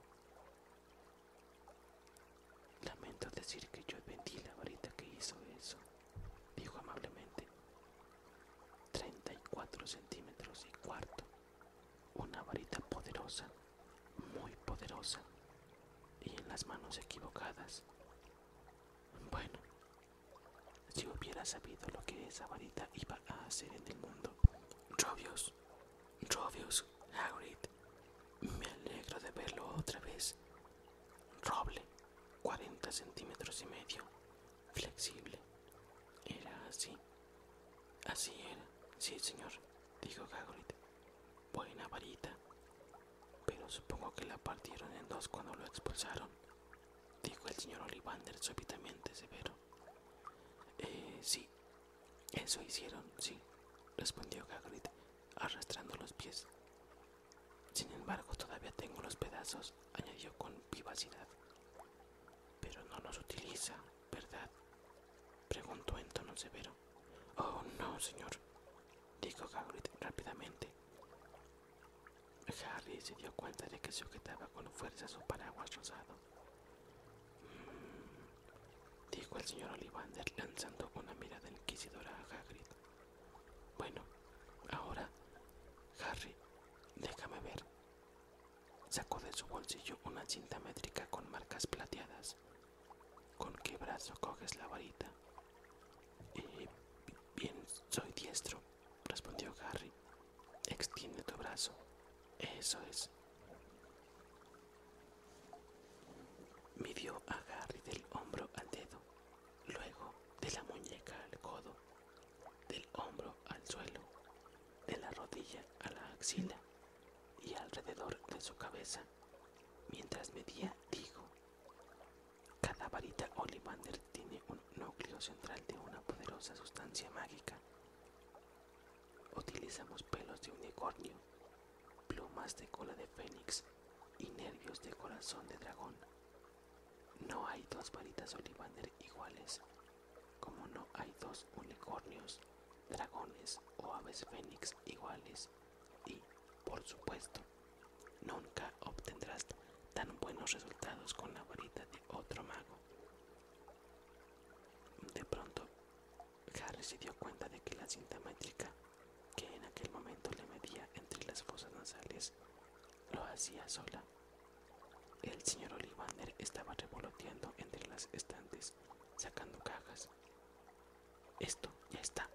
Lamento decir que yo vendí la varita que hizo eso, dijo amablemente. 34 y centímetros y cuarto. Una varita poderosa, muy poderosa, y en las manos equivocadas. Bueno, si hubiera sabido lo que esa varita iba a hacer en el mundo, Robios Robius, Hagrid, me alegro de verlo otra vez. Roble, 40 centímetros y medio, flexible. Era así. Así era, sí, señor, dijo Hagrid. Buena varita. Pero supongo que la partieron en dos cuando lo expulsaron, dijo el señor Ollivander súbitamente severo. Eh, sí, eso hicieron, sí, respondió Hagrid, arrastrando los pies. Sin embargo, todavía tengo los pedazos, añadió con vivacidad. Pero no los utiliza, ¿verdad? preguntó en tono severo. Oh, no, señor, dijo Hagrid rápidamente. Harry se dio cuenta de que sujetaba con fuerza su paraguas rosado. Dijo el señor Ollivander lanzando una mirada inquisidora a Hagrid. Bueno, ahora, Harry, déjame ver. Sacó de su bolsillo una cinta métrica con marcas plateadas. ¿Con qué brazo coges la varita? Eh, bien, soy diestro, respondió Harry. Extiende tu brazo. Eso es. Midió a Harry del hombro al dedo, luego de la muñeca al codo, del hombro al suelo, de la rodilla a la axila y alrededor de su cabeza. Mientras medía, dijo, cada varita Ollivander tiene un núcleo central de una poderosa sustancia mágica. Utilizamos pelos de unicornio, plumas de cola de fénix y nervios de corazón de dragón. No hay dos varitas olivander iguales, como no hay dos unicornios, dragones o aves fénix iguales. Y, por supuesto, nunca obtendrás tan buenos resultados con la varita de otro mago. De pronto, Harry se dio cuenta de que la cinta métrica que en aquel momento le medía entre las fosas nasales lo hacía sola. El señor Ollivander estaba revoloteando entre las estantes, sacando cajas. Esto ya está,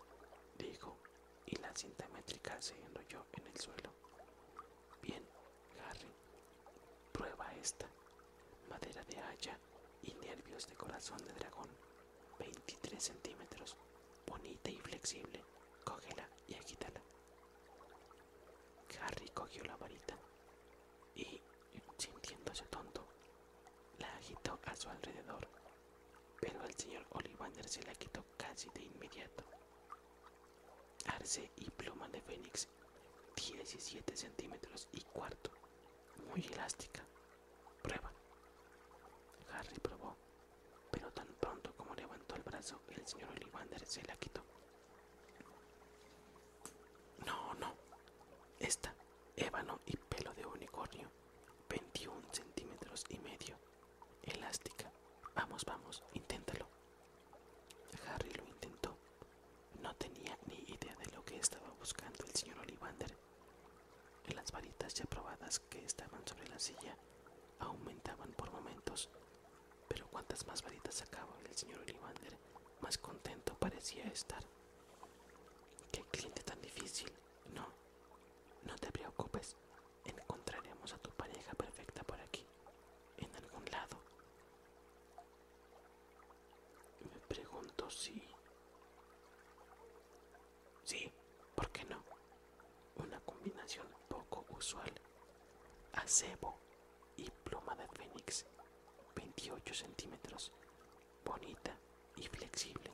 dijo, y la cinta métrica se enrolló en el suelo. Bien, Harry, prueba esta. Madera de haya y nervios de corazón de dragón. 23 centímetros. Bonita y flexible. Cógela y agítala. Harry cogió la varita y, sintiéndose tonto, la agitó a su alrededor, pero el señor Ollivander se la quitó casi de inmediato. Arce y pluma de fénix 17 centímetros y cuarto, muy elástica. Prueba. Harry probó, pero tan pronto como levantó el brazo, el señor Ollivander se la quitó. No, no. Esta, ébano y pelo de unicornio, 21 centímetros y medio, elástica. Vamos, vamos, inténtalo. Harry lo intentó. No tenía ni idea de lo que estaba buscando el señor Olivander. las varitas ya probadas que estaban sobre la silla aumentaban por momentos, pero cuantas más varitas sacaba el señor Olivander, más contento parecía estar. ¡Qué cliente tan difícil! No, no te preocupes, encontraremos a tu pareja perfecta por aquí, en algún lado. Me pregunto si... Sí, ¿por qué no? Una combinación poco usual. Acebo y pluma de fénix. 28 centímetros. Bonita y flexible.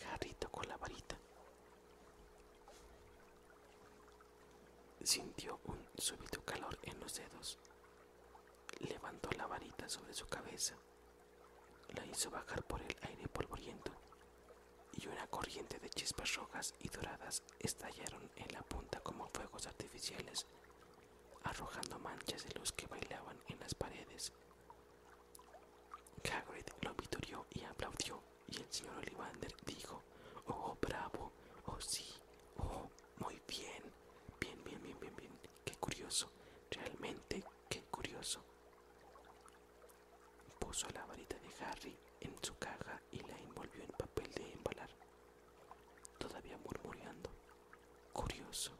Jarrito con la varita. Sintió un súbito calor en los dedos. Levantó la varita sobre su cabeza. La hizo bajar por el aire polvoriento y una corriente de chispas rojas y doradas estallaron en la punta como fuegos artificiales, arrojando manchas de luz que bailaban en las paredes. lo viturió y aplaudió, y el señor olivander dijo, ¡Oh, bravo! ¡Oh, sí! Oh, muy bien. Bien, bien, bien, bien, bien. Qué curioso. Realmente, qué curioso. Puso la varita de Harry en su caja y la envolvió en papel de embalar. Todavía murmurando. Curioso.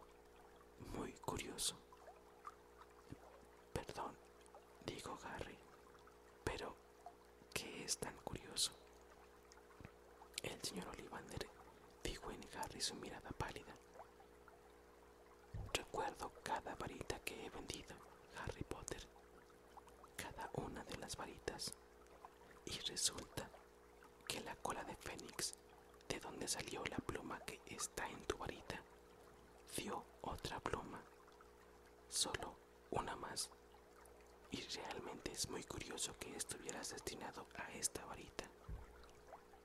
Muy curioso. Perdón, dijo Harry, pero que es tan curioso. El señor Olivander dijo en Harry su mirada pálida. Recuerdo cada varita que he vendido, Harry Potter, cada una de las varitas. Y resulta que la cola de Fénix, de donde salió la pluma que está en tu varita, dio otra pluma. Solo una más. Y realmente es muy curioso que estuvieras destinado a esta varita,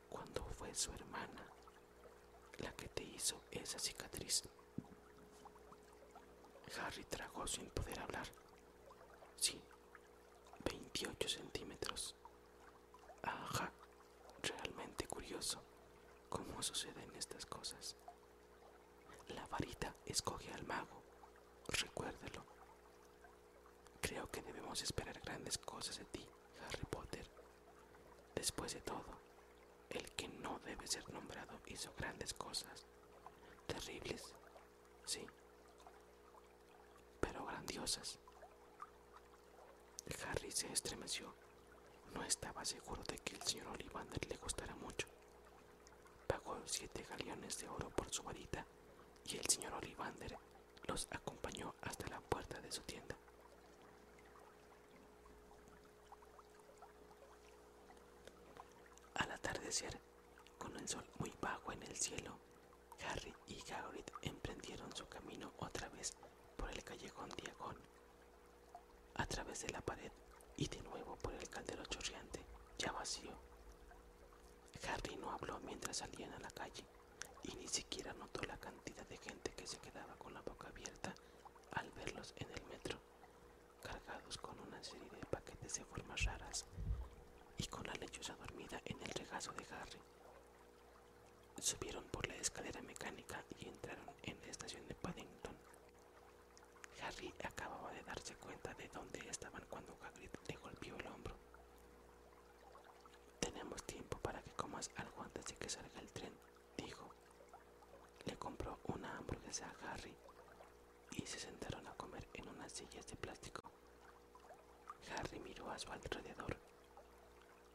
cuando fue su hermana la que te hizo esa cicatriz. Harry tragó sin poder hablar. Sí, 28 centímetros. Ajá, realmente curioso cómo suceden estas cosas. La varita escoge al mago, Recuérdelo. Creo que debemos esperar grandes cosas de ti, Harry Potter. Después de todo, el que no debe ser nombrado hizo grandes cosas. Terribles, sí, pero grandiosas. Harry se estremeció. No estaba seguro de que el señor Ollivander le gustara mucho, Pagó siete galeones de oro por su varita y el señor Olivander los acompañó hasta la puerta de su tienda. Al atardecer, con el sol muy bajo en el cielo, Harry y Hagrid emprendieron su camino otra vez por el callejón diagonal, A través de la pared y de nuevo por el caldero chorriante, ya vacío. Harry no habló mientras salían a la calle y ni siquiera notó la cantidad de gente que se quedaba con la boca abierta al verlos en el metro, cargados con una serie de paquetes de formas raras y con la lechuza dormida en el regazo de Harry. Subieron por la escalera mecánica y entraron en la estación de Paddington. Harry acababa de darse cuenta de dónde estaban cuando Hagrid le golpeó el hombro. Tenemos tiempo para que comas algo antes de que salga el tren, dijo. Le compró una hamburguesa a Harry y se sentaron a comer en unas sillas de plástico. Harry miró a su alrededor.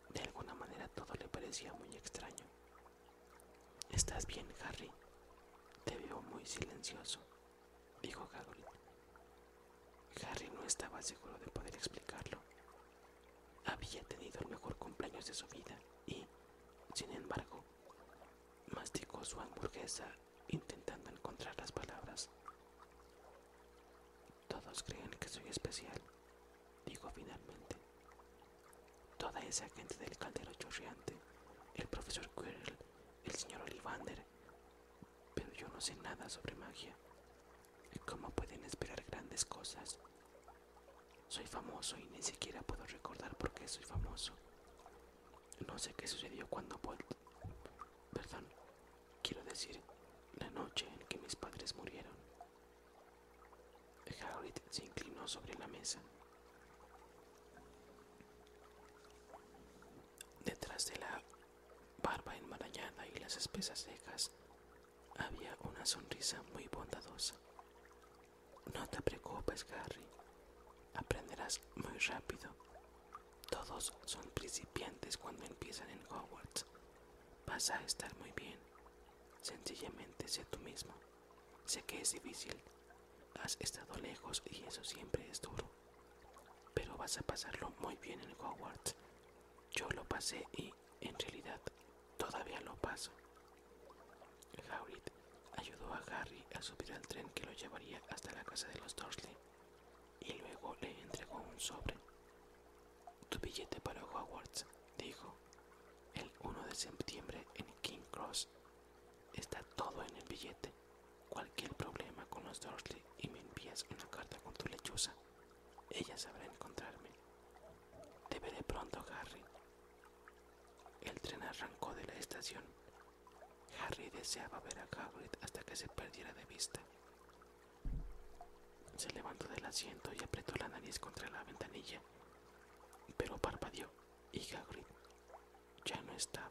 De alguna manera todo le parecía muy extraño. ¿Estás bien, Harry? Te veo muy silencioso dijo Gagol. Harry no estaba seguro de poder explicarlo. Había tenido el mejor cumpleaños de su vida y, sin embargo, masticó su hamburguesa intentando encontrar las palabras. Todos creen que soy especial, dijo finalmente. Toda esa gente del caldero chorreante, el profesor Quirrell el señor Olivander, pero yo no sé nada sobre magia. ¿Cómo pueden esperar grandes cosas? Soy famoso y ni siquiera puedo recordar por qué soy famoso. No sé qué sucedió cuando vuelvo Perdón, quiero decir, la noche en que mis padres murieron. Harold se inclinó sobre la mesa. Detrás de la barba enmarañada y las espesas cejas había una sonrisa muy bondadosa. No te preocupes, Harry, Aprenderás muy rápido. Todos son principiantes cuando empiezan en Hogwarts. Vas a estar muy bien. Sencillamente sé tú mismo. Sé que es difícil, has estado lejos y eso siempre es duro, pero vas a pasarlo muy bien en Hogwarts. Yo lo pasé y, en realidad, todavía lo paso. Hagrid ayudó a Harry a subir al tren que lo llevaría hasta la casa de los Dursley y luego le entregó un sobre. Tu billete para Hogwarts, dijo. El 1 de septiembre en King Cross está todo en el billete cualquier problema con los Dursley y me envías una carta con tu lechuza, ella sabrá encontrarme. Te veré pronto, Harry. El tren arrancó de la estación. Harry deseaba ver a Hagrid hasta que se perdiera de vista. Se levantó del asiento y apretó la nariz contra la ventanilla, pero parpadeó y ya no estaba.